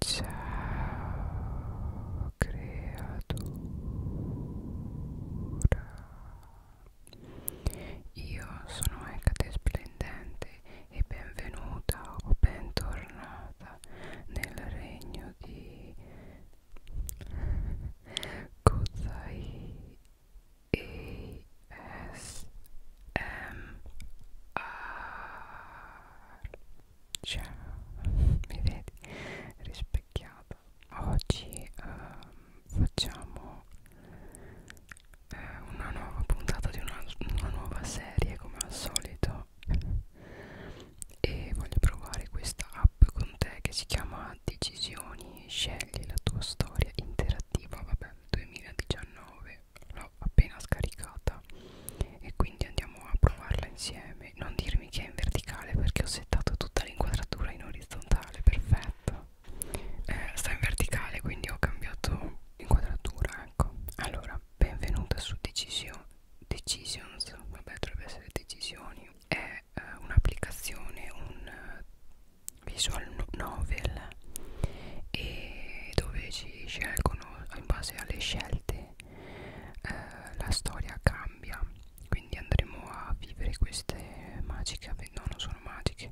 Ciao creatura Io sono Ecate Splendente e benvenuta o bentornata nel regno di Kozai ASMR ciao mi vedi rispecchiata oggi eh, facciamo eh, una nuova puntata di una, una nuova serie come al solito e voglio provare questa app con te che si chiama Decisioni, scegli la tua storia interattiva, vabbè, 2019 l'ho l'ho appena scaricata e quindi andiamo a provarla insieme non dirmi che è in verticale perché ho settato tutta l'inquadratura in orizzontale perfetto eh, sta in verticale quindi ho cambiato inquadratura ecco allora benvenuta su Decision, Decisions vabbè dovrebbe essere Decisioni è eh, un'applicazione un eh, visual novel e dove ci scelgono in base alle scelte che eh, la storia cambia quindi andremo a vivere queste magiche no non sono magiche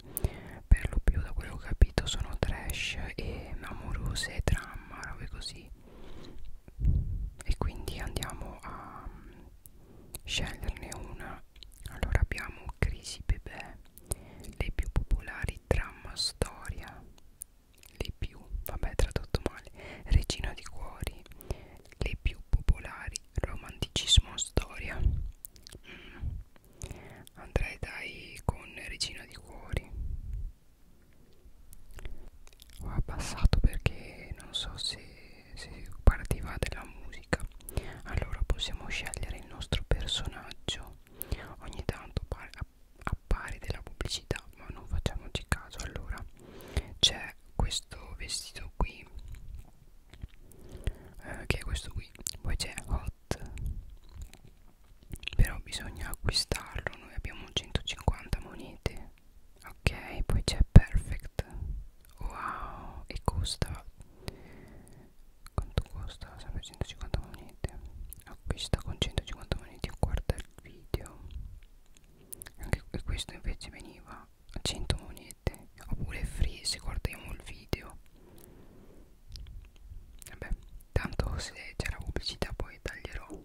per lo più da quello che ho capito sono trash e amorose dramma robe così e quindi andiamo a mm, sceglierne una allora abbiamo crisi bebè le più popolari dramma storia le più, vabbè tradotto male, regina di cuori, le più popolari, romanticismo, storia. Mm. Andrei dai con regina di cuori. Ho abbassato perché non so se, se partiva della musica. Allora possiamo scegliere il nostro personaggio. Ogni tanto appare della pubblicità ma non facciamoci caso allora c'è questo vestito qui eh, che è questo qui poi c'è hot però bisogna acquistarlo noi abbiamo 150 monete ok poi c'è perfect wow e costa quanto costa sempre 150 monete acquista con 150 monete a quarta del video anche questo invece veniva a 100 monete oppure free se guardiamo il video vabbè tanto se c'è la pubblicità poi taglierò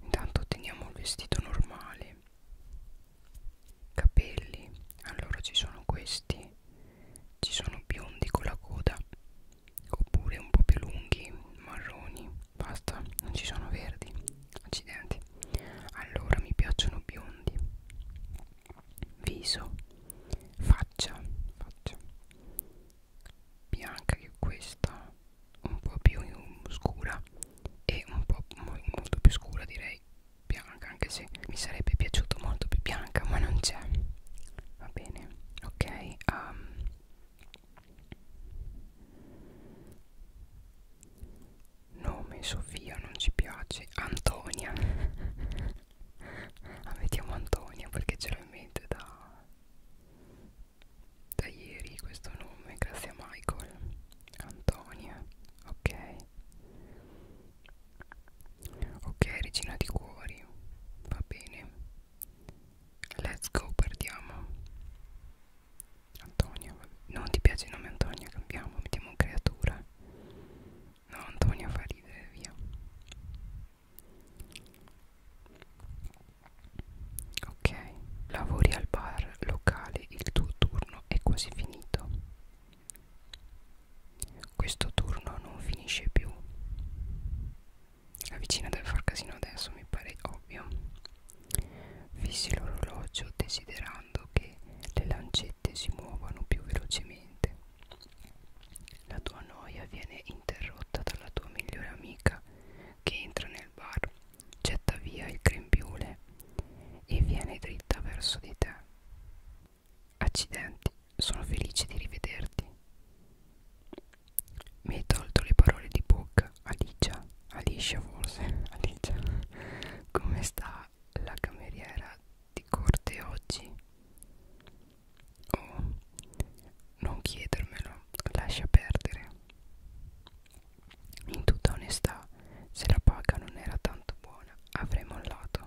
intanto otteniamo il vestito normale capelli allora ci sono questi ci sono biondi con la coda oppure un po' più lunghi marroni basta non ci sono verdi accidenti allora mi piacciono biondi viso faccia faccia bianca che questa un po' più scura e un po' molto più scura direi bianca anche se mi sarebbe piaciuto molto più bianca ma non c'è va bene ok um, Nome Sofia non ci piace Antonia ah, Mettiamo Antonia perché ce l'ho in mente da, da ieri questo nome Grazie a Michael Antonia Ok Ok regina di cuori Va bene Let's go, perdiamo Antonio, non ti piace il nome Antonio, cambiamo, mettiamo creatura No, Antonio fa ridere, via Ok, lavori al bar locale, il tuo turno è quasi finito Questo turno non finisce più la vicina deve far casino adesso, mi pare ovvio. Fissi l'orologio desiderando che le lancette si muovano più velocemente. La tua noia viene interrotta dalla tua migliore amica che entra nel bar, getta via il grembiule e viene dritta verso di te. Accidenti, sono felice di rivederti. Mi hai tolto le parole di bocca, Alicia, Alicia forse, Alicia. Come sta la cameriera di corte oggi? Oh, non chiedermelo, lascia perdere. In tutta onestà, se la paga non era tanto buona, avrei mollato.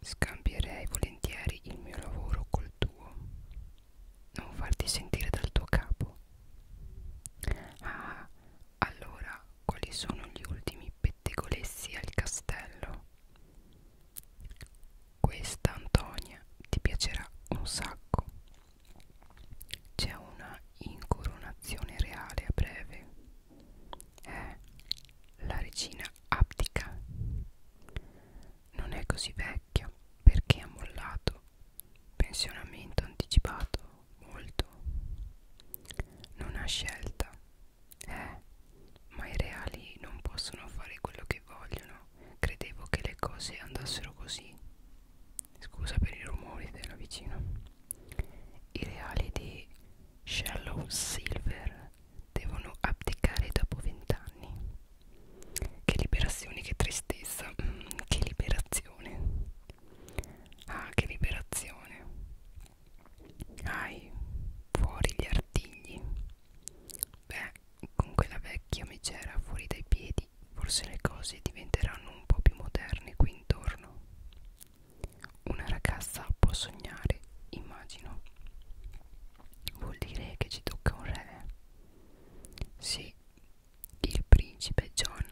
Scambierei volentieri il mio lavoro col tuo non farti sentire dal tuo capo. Ah, allora quali sono gli ultimi pettegolezzi al castello? Questa Antonia ti piacerà un sacco. C'è una incoronazione reale a breve. Eh, la regina abdica. Non è così vecchia vecchia perché ha mollato pensionamento anticipato molto non ha scelta eh ma i reali non possono fare quello che vogliono credevo che le cose andassero così scusa per i rumori della vicina i reali di Shallow Silver devono abdicare dopo vent'anni che liberazione, che tristezza, mm, che liberazione. Ah, che liberazione. Ai, fuori gli artigli. Beh, con quella vecchia micera fuori dai piedi, forse le cose diventeranno un po' più moderne qui intorno. Una ragazza può sognare, immagino. Vuol dire che ci tocca un re. Sì, il principe John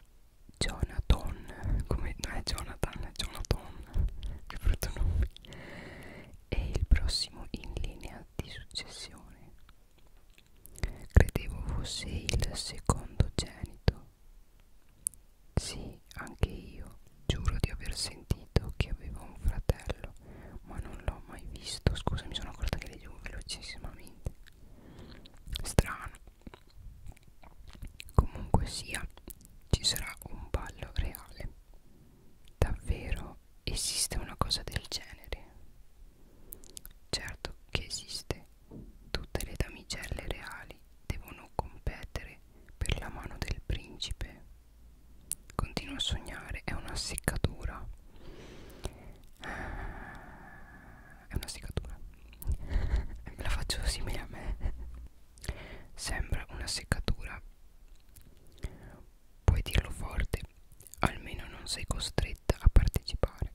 Jonathan, come no, è Jonathan, è Jonathan, che brutto nome, è il prossimo in linea di successione. Credevo fosse il secondo genito. Sì, anche io giuro di aver sentito che avevo un fratello, ma non l'ho mai visto scusa mi sono accorta che le dico velocissimamente strano comunque sia ci sarà un ballo reale davvero esiste una cosa del genere certo che esiste tutte le damigelle reali devono competere per la mano del principe Continuo a sognare, è una seccatura. Eh, è una seccatura. La faccio simile a me. Sembra una seccatura. Puoi dirlo forte, almeno non sei costretta a partecipare.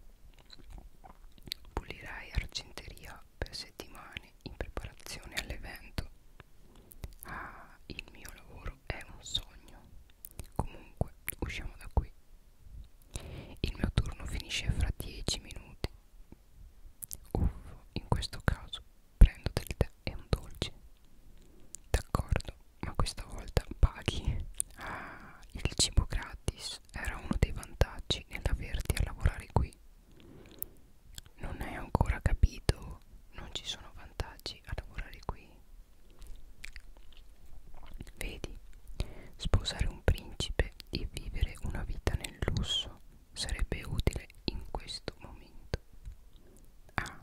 Pulirai argenteria per settimane in preparazione all'evento. Ah, il mio lavoro è un sogno. Comunque, usciamo da qui. Il mio turno finisce fra 10 minuti. Uff, in questo caso prendo del tè e un dolce. D'accordo, ma questa volta paghi. Ah, il cibo gratis era uno dei vantaggi nell'averti a lavorare qui. Non hai ancora capito? Non ci sono vantaggi a lavorare qui. Vedi, sposare un principe e vivere una vita nel lusso sarebbe utile in questo momento. Ah,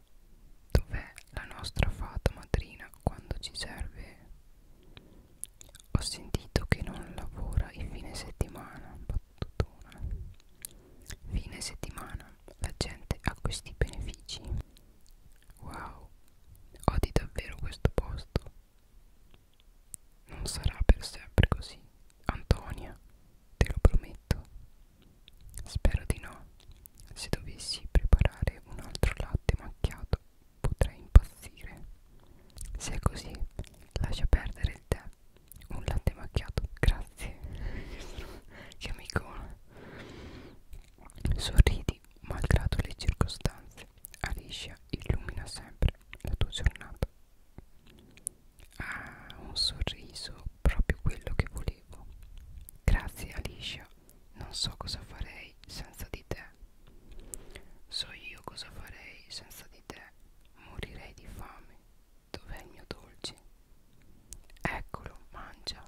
dov'è la nostra fata madrina quando ci serve? Ho sentito che non lavora il fine settimana, battutona. Fine settimana la gente ha questi benefici. Wow, odi davvero questo posto. Non sarà per sempre così, Antonia, te lo prometto. Spero di no. Se dovessi preparare un altro latte macchiato, potrei impazzire. Se è così, lascia perdere il tè. Un latte macchiato, grazie. che amicone. Sorridi malgrado le circostanze. Alicia illumina sempre la tua giornata. Ah, un sorriso, proprio quello che volevo. Grazie Alicia, non so cosa farei senza di te. So io cosa farei senza di te. Morirei di fame. Dov'è il mio dolce? Eccolo, mangia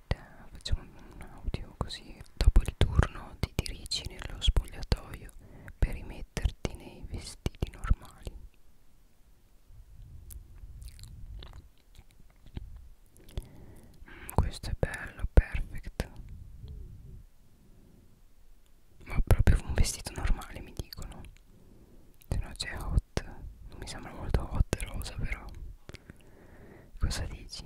eh, facciamo un audio così dopo il turno ti dirigi nello spogliatoio per rimetterti nei vestiti normali mm, questo è bello perfect ma proprio un vestito normale mi dicono se no c'è hot non mi sembra molto hot rosa però Cosa dici?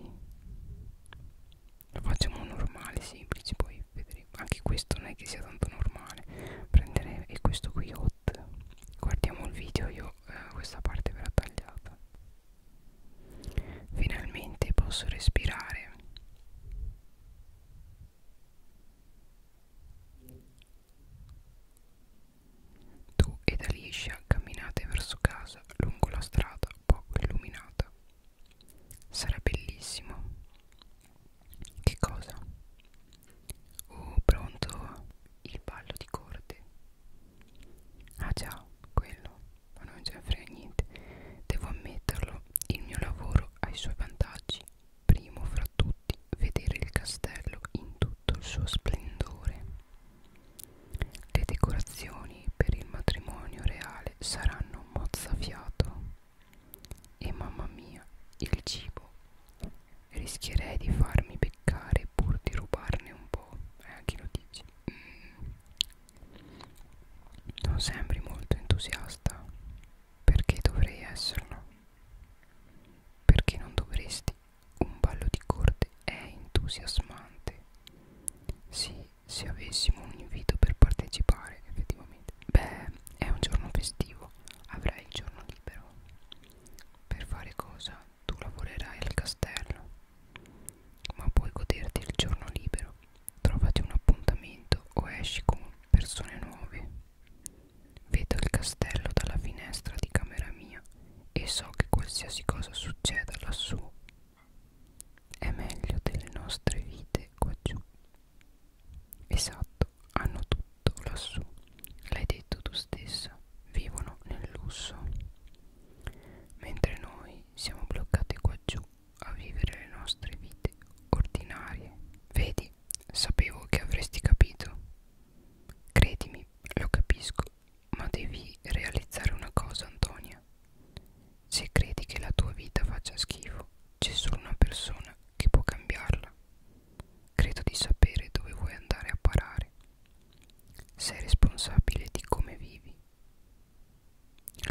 Lo facciamo normale, semplice, poi vedremo. Anche questo non è che sia tanto normale. Prendere e questo qui hot. Guardiamo il video, io eh, questa parte verrà tagliata. Finalmente posso respirare. Tu ed Alicia camminate verso casa lungo la strada poco illuminata. Sarà bellissimo. Che cosa? Oh, pronto il ballo di corte. Ah già, quello, ma non ce ne frega niente. Devo ammetterlo, il mio lavoro ha i suoi vantaggi. Primo fra tutti, vedere il castello in tutto il suo splendore. Le decorazioni per il matrimonio reale saranno mozzafiato e mamma mia, il cibo. Rischierei di farmi beccare pur di rubarne un po'. Eh, chi lo dici? Mm. Non sembri molto entusiasta. Perché dovrei esserlo? Perché non dovresti? Un ballo di corte è entusiasmante. Sì, se avessimo un invito per partecipare, effettivamente. Beh, è un giorno festivo, avrai il giorno libero. Per fare cosa? Tu lavorerai al castello, ma puoi goderti il giorno libero. Trovati un appuntamento o esci con persone nuove. Vedo il castello dalla finestra di camera mia e so che qualsiasi cosa succeda lassù è meglio delle nostre vite qua giù. Esatto, hanno tutto lassù, l'hai detto tu stessa, vivono nel lusso, mentre noi siamo bloccati qua giù a vivere le nostre vite ordinarie. Vedi, sapevo che avresti capito. Credimi, lo capisco. Ma devi realizzare una cosa, Antonia. Se credi che la tua vita faccia schifo, c'è solo una persona che può cambiarla. Credo di sapere dove vuoi andare a parare. Sei responsabile di come vivi.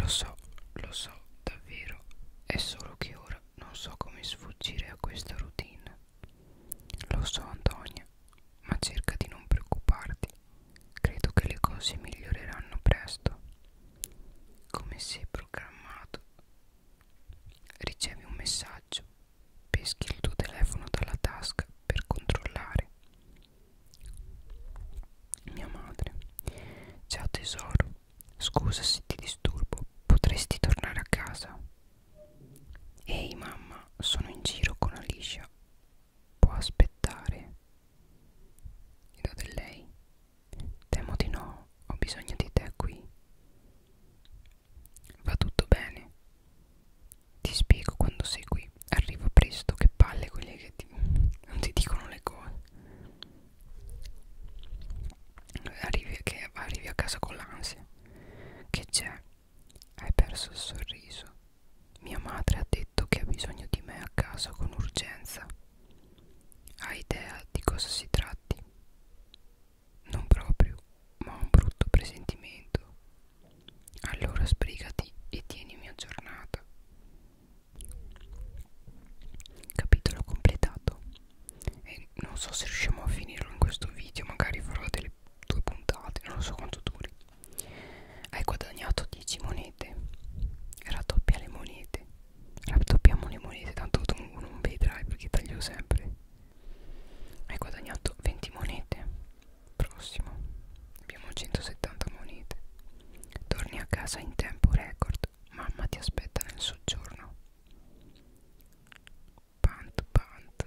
Lo so, lo so, davvero. È solo che ora non so come sfuggire a questa routine. Lo so, Antonia, ma cerca di non preoccuparti. Credo che le cose miglioreranno presto. Come si è programmato? Ricevi un messaggio, peschi il tuo telefono dalla tasca per controllare. Mia madre. Ciao tesoro, scusa se ti disturbo, potresti tornare a casa? Ehi mamma, sono in giro con Alicia può aspettare? Io del lei. Temo di no, ho bisogno di te qui. Va tutto bene. Ti spiego quando sei qui. Arrivo presto, che palle quelle che ti, non ti dicono le cose. Arrivi, che arrivi a casa con l'ansia. Che c'è? Hai perso il sorriso. Mia madre ha detto che ha bisogno di me a casa con urgenza. Hai idea di cosa si tratti? Non proprio, ma ho un brutto presentimento. Allora sbrigati e tienimi aggiornata. Capitolo completato. E non so se riusciamo a finirlo in questo video, magari farò delle due puntate, non lo so quanto duri hai guadagnato 10 monete raddoppia le monete raddoppiamo le monete tanto tu non vedrai perché taglio sempre hai guadagnato 20 monete prossimo abbiamo 170 monete torni a casa in tempo record mamma ti aspetta nel soggiorno pant pant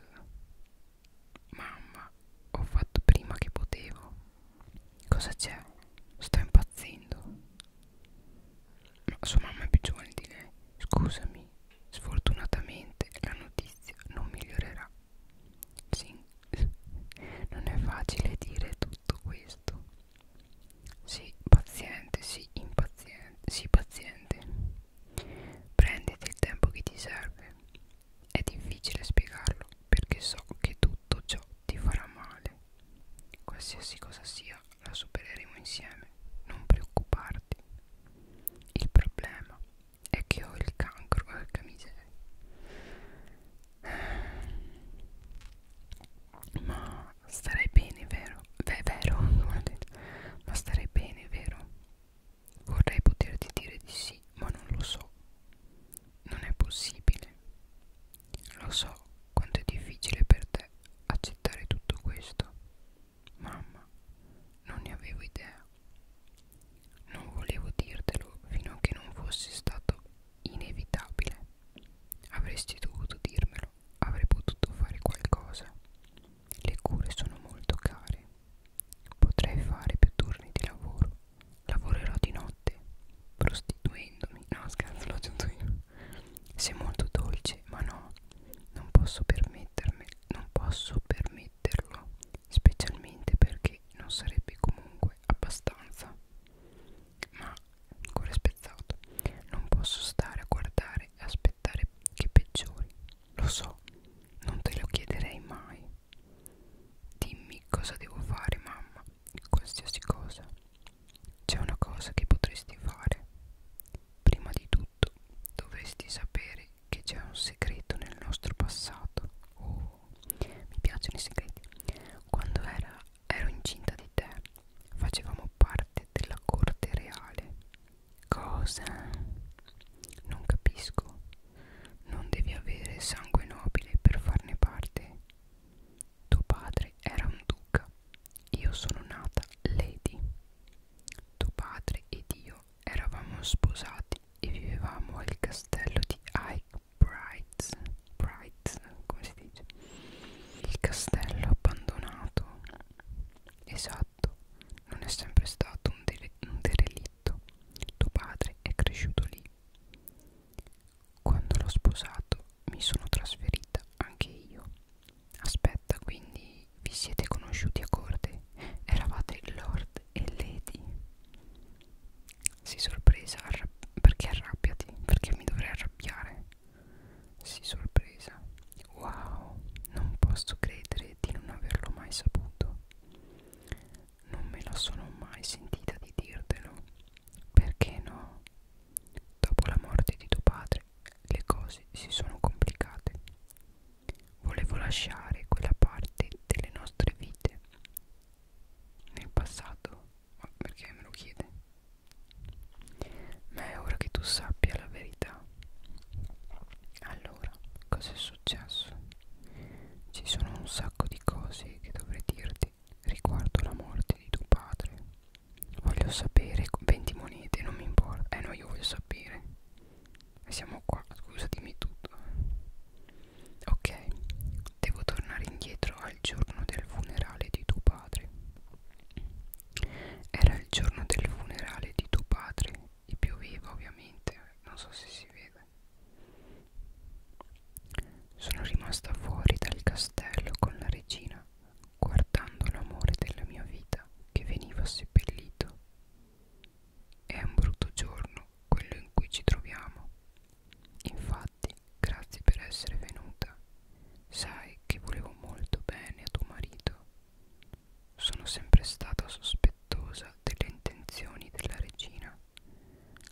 Mamma, ho fatto prima che potevo. Cosa c'è? Sto impazzendo. Ma sua mamma è più giovane di lei. Scusami, sfortunatamente la notizia non migliorerà. Sì, non è facile dire tutto questo. Sì, paziente, sì, impaziente, sì, paziente. Prenditi il tempo che ti serve. È difficile spiegarlo perché so che tutto ciò ti farà male. Qualsiasi cosa sia, la supereremo insieme. Non preoccuparti. Il problema è che ho il cancro, porca eh, miseria. Ma starei bene, vero? Beh, è vero, ma starei bene, vero? Vorrei poterti dire di sì, ma non lo so. Non è possibile. Lo so quanto è difficile per te accettare tutto questo. Mamma, non ne avevo idea. Non volevo dirtelo fino a che non fosse stato inevitabile. Avresti dovuto dirmelo, avrei potuto fare qualcosa. Le cure sono molto care. Potrei fare più turni di lavoro Lavorerò di notte prostituendomi. No, scherzo, l'ho aggiunto io. Sei molto dolce, ma no, non posso permettermi, non posso permetterlo, specialmente perché non sarebbe comunque abbastanza. Ma ancora spezzato. Non posso stare a guardare e aspettare che peggiori. Lo so, non te lo chiederei mai, Dimmi cosa devo fare, mamma, qualsiasi cosa. C'è una cosa che potresti fare. Prima di tutto, dovresti sapere che c'è un segreto nel nostro passato. Oh, mi piacciono i segreti. Quando era, ero incinta di te, facevamo parte della corte reale. Cosa? Non capisco. Non devi avere sangue nobile per farne parte. Tuo padre era un duca. Io sono nata lady. Tuo padre ed io eravamo sposati e vivevamo al castello di Ike Brights. Brights, come si dice? Il castello abbandonato. Esatto, non è sempre stato un, un derelitto detto tuo padre è cresciuto lì quando l'ho sposato mi sono trasferita anche io aspetta quindi vi siete conosciuti a corte eravate lord e lady si sorpresa arra perché arrabbiati perché mi dovrei arrabbiare si sorpresa wow non posso credere di non averlo mai saputo non me la sono mai sentita di dirtelo. Perché no? Dopo la morte di tuo padre le cose si sono complicate. Volevo lasciare quella parte delle nostre vite nel passato, ma perché me lo chiede? Ma è ora che tu sappia la verità. Allora, cosa è successo? successo ci sono un sacco di cose che dovrei dirti riguardo la morte di tuo padre voglio sapere 20 monete non mi importa eh no io voglio sapere e siamo qua scusa dimmi tutto ok devo tornare indietro al giorno del funerale di tuo padre era il giorno del funerale di tuo padre e pioveva ovviamente non so se si vede sono rimasta fuori dal castello con la regina, guardando l'amore della mia vita che veniva seppellito. È un brutto giorno quello in cui ci troviamo. Infatti, grazie per essere venuta. Sai che volevo molto bene a tuo marito. Sono sempre stata sospettata rispettosa delle intenzioni della regina.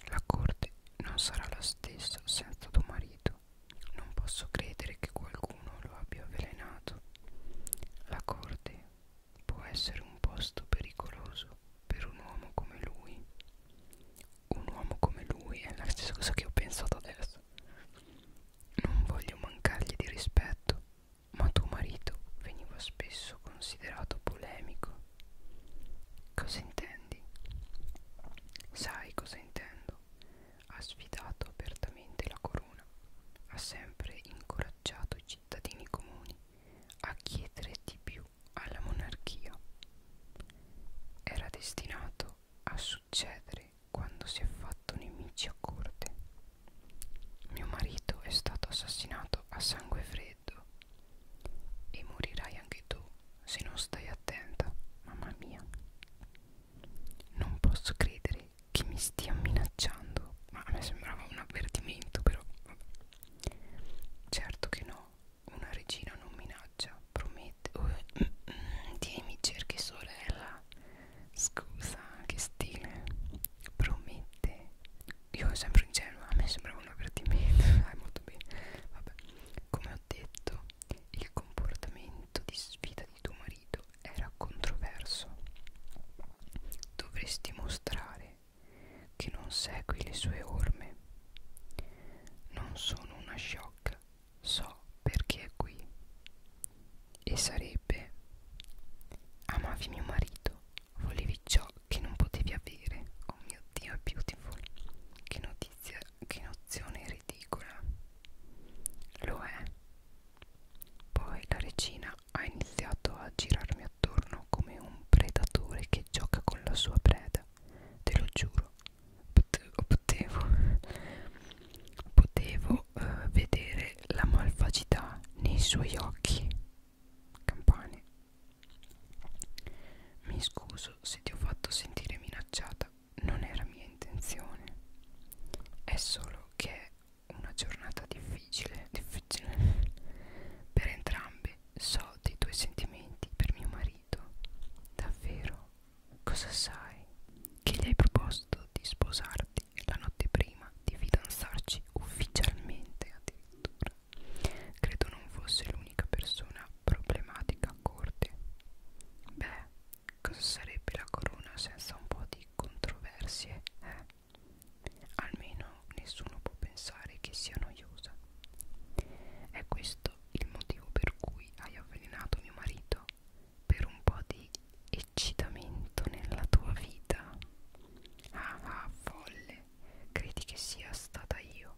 La corte non sarà la stessa senza tuo marito. Non posso credere che qualcuno lo abbia avvelenato. La corte può essere un posto pericoloso per un uomo come lui. Un uomo come lui è la stessa cosa che ho pensato adesso. Non voglio mancargli di rispetto, ma tuo marito veniva spesso considerato polemico Cosa intendi? Sai cosa intendo? Ha sfidato apertamente la corona, ha sempre incoraggiato i cittadini comuni a chiedere di più alla monarchia. Era destinato a succedere quando si è fatto nemici a corte. Mio marito è stato assassinato a sangue freddo e morirai anche tu se non stai attenta, mamma mia. Non posso credere che mi stia minacciando. Ma a me sembrava un avvertimento, però. Vabbè. Certo che no, una regina non minaccia, promette. Oh, mm, mm, tieni, cerchi sorella. Scusa, che stile. Promette io sempre ingenua, a me sembrava un avvertimento, ah, molto bene, vabbè, come ho detto, il comportamento di sfida di tuo marito era controverso, dovresti mostrare che non segui le sue orme, non sono una shock, so perché è qui, e sarebbe, amavi mio marito volevi ciò che non potevi avere oh mio dio è beautiful che notizia che nozione ridicola lo è poi la regina ha iniziato a girarmi attorno come un predatore che gioca con la sua preda te lo giuro potevo potevo eh, vedere la malvagità nei suoi occhi campane. Mi scuso se ti ho fatto sentire minacciata, non era mia intenzione. È solo che è una giornata difficile, difficile per entrambe. So dei tuoi sentimenti per mio marito. Davvero? Cosa sai? Che gli hai proposto di sposarti la notte prima, di fidanzarci ufficialmente addirittura. Bar. Credo non fosse l'unica persona problematica a corte. Beh, cosa sarebbe la corona senza un po' di controversie, eh? Almeno nessuno può pensare che sia noiosa. È questo il motivo per cui hai avvelenato mio marito? Per un po' di eccitamento nella tua vita? Ah, ah folle! credi che sia stata io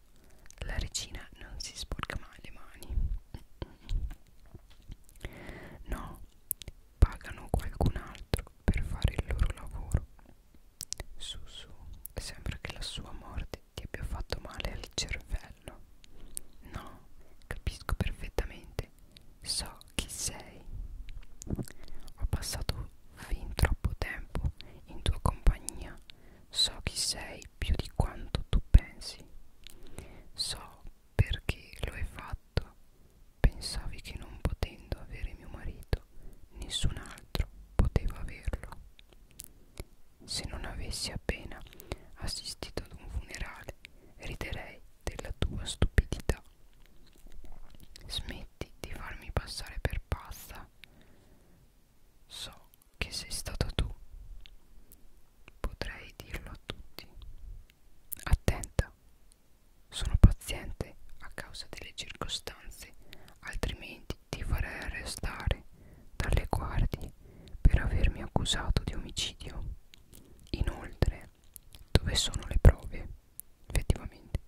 la regina non si sporca mai le mani no pagano qualcun altro per fare il loro lavoro su su sembra che la sua morte ti abbia fatto male al cervello no capisco perfettamente so chi sei ho passato fin troppo tempo in tua compagnia so chi sei più di quanto tu pensi so perché lo hai fatto pensavi che non potendo avere mio marito nessun altro poteva averlo se non avessi appena assistito ad un funerale riderei della tua stupidità smetti di farmi passare per pazza So che sei stato tu. Potrei dirlo a tutti. Attenta. Sono paziente a causa delle circostanze, altrimenti ti farei arrestare dalle guardie per avermi accusato di omicidio. Inoltre, dove sono le prove? Effettivamente,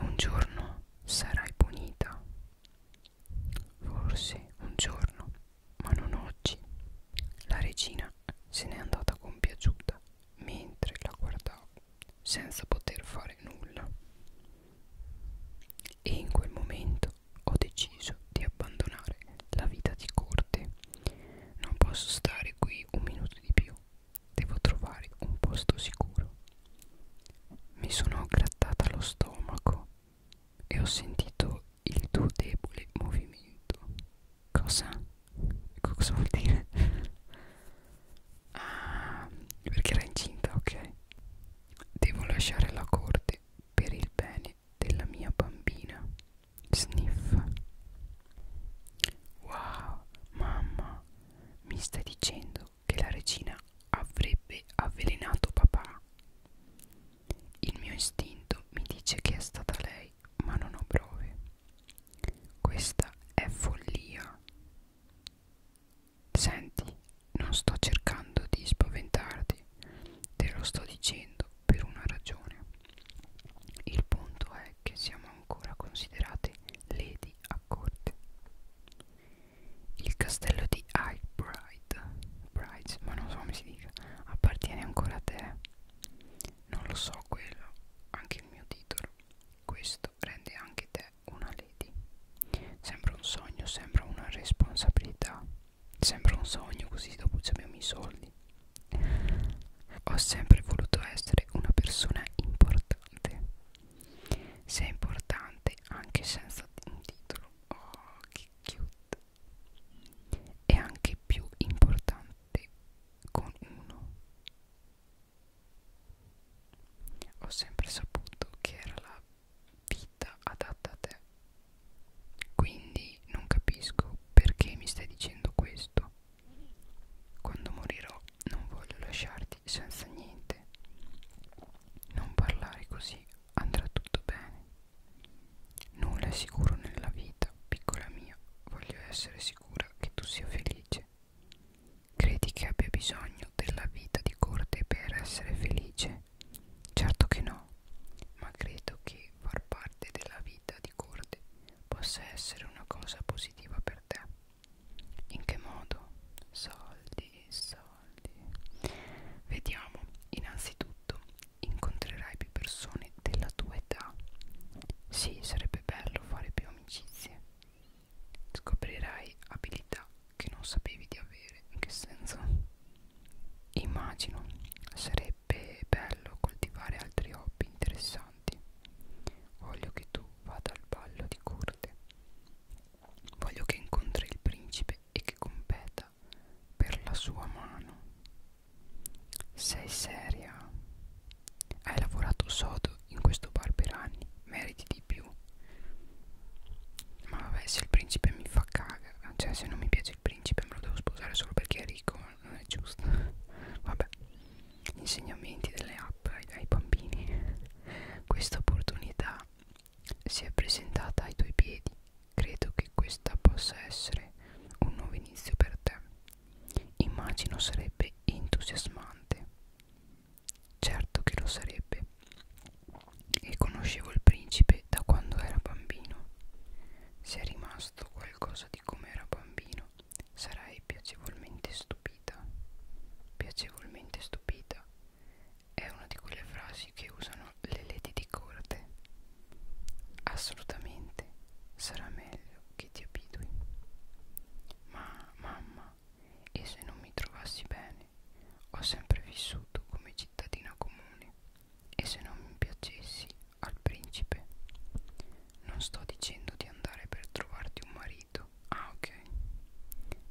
un giorno sarai punita. Forse un giorno, ma non oggi. La regina se n'è andata compiaciuta mentre la guardavo, senza poter fare nulla. E in quel momento ho deciso di abbandonare la vita di corte. Non posso stare qui un minuto di più. Devo trovare un posto sicuro. Mi sono grattata lo stomaco e ho sentito il tuo debole movimento. Cosa? Cosa vuol dire? ah, perché era incinta, ok. Devo lasciare la corte per il bene della mia bambina. Sniff. Wow, mamma, mi stai dicendo che la regina avrebbe avvelenato papà. Il mio istinto mi dice che è stata lei, ma non ho prove. Questa è follia. Senti, non sto cercando di spaventarti, te lo sto dicendo per una ragione. Il punto è che siamo ancora considerate lady a corte. Il castello di Highbright Bright, ma non so come si dice Appartiene ancora a te Non lo so quello Anche il mio titolo Questo rende anche te una lady Sembra un sogno Sembra una responsabilità Sembra un sogno così dopo ci abbiamo i soldi Ho sempre voluto essere una persona importante sei importante anche senza un titolo oh che cute è anche più importante con uno ho sempre saputo che era la vita adatta a te quindi non capisco perché mi stai dicendo questo quando morirò non voglio lasciarti senza niente. Non parlare così, andrà tutto bene. Nulla è sicuro nella vita, piccola mia. Voglio essere sicura che tu sia felice. Credi che abbia bisogno della vita di corte per essere felice? Certo che no, ma credo che far parte della vita di corte possa essere una cosa positiva per te. In che modo? Soldi, soldi. Vediamo, innanzitutto incontrerai più persone della tua età. Sì, sarebbe bello fare più amicizie. Scoprirai abilità che non sapevi di avere. In che senso? Immagino, sarebbe bello coltivare altri hobby interessanti. Voglio che tu vada al ballo di corte. Voglio che incontri il principe e che competa per la sua mano. Sei seria? Hai lavorato sodo in questo bar per anni, meriti di più. Ma vabbè, se il principe mi fa cagare, cioè se non mi piace il principe me lo devo sposare solo perché è ricco, non è giusto. Vabbè, insegnamenti delle app ai, ai bambini. Questa opportunità si è presentata ai tuoi piedi. Credo che questa possa essere un nuovo inizio per te. Immagino sarebbe entusiasmante. Certo che lo sarebbe. E conoscevo il principe da quando era bambino. Se è rimasto qualcosa di come era bambino, sarai piacevolmente stupita. Piacevolmente stupita è una di quelle frasi che usano le lady di corte. Assolutamente sarà meglio che ti abitui. Ma mamma, e se non mi trovassi bene? Ho sempre vissuto come cittadina comune. E se non mi piacessi al principe? Non sto dicendo di andare per trovarti un marito marito. Ah, ok.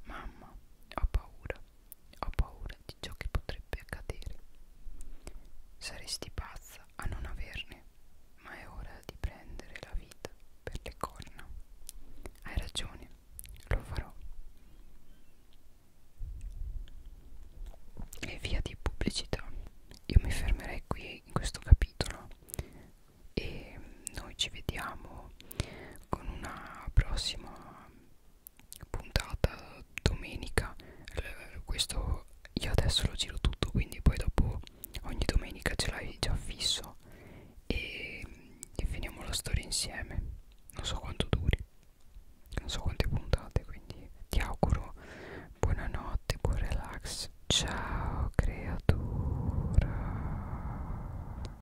Mamma, ho paura. Ho paura di ciò che potrebbe accadere. Saresti pazza a non averne, ma è ora di prendere la vita per le corna. Hai ragione, lo farò. E via di pubblicità. Io mi fermerei qui in questo capitolo e noi ci vediamo con una prossima puntata domenica eh, questo io adesso lo giro tutto quindi poi dopo ogni domenica ce l'hai già fisso e, e finiamo la storia insieme non so quanto duri non so quante puntate quindi ti auguro buonanotte buon relax ciao creatura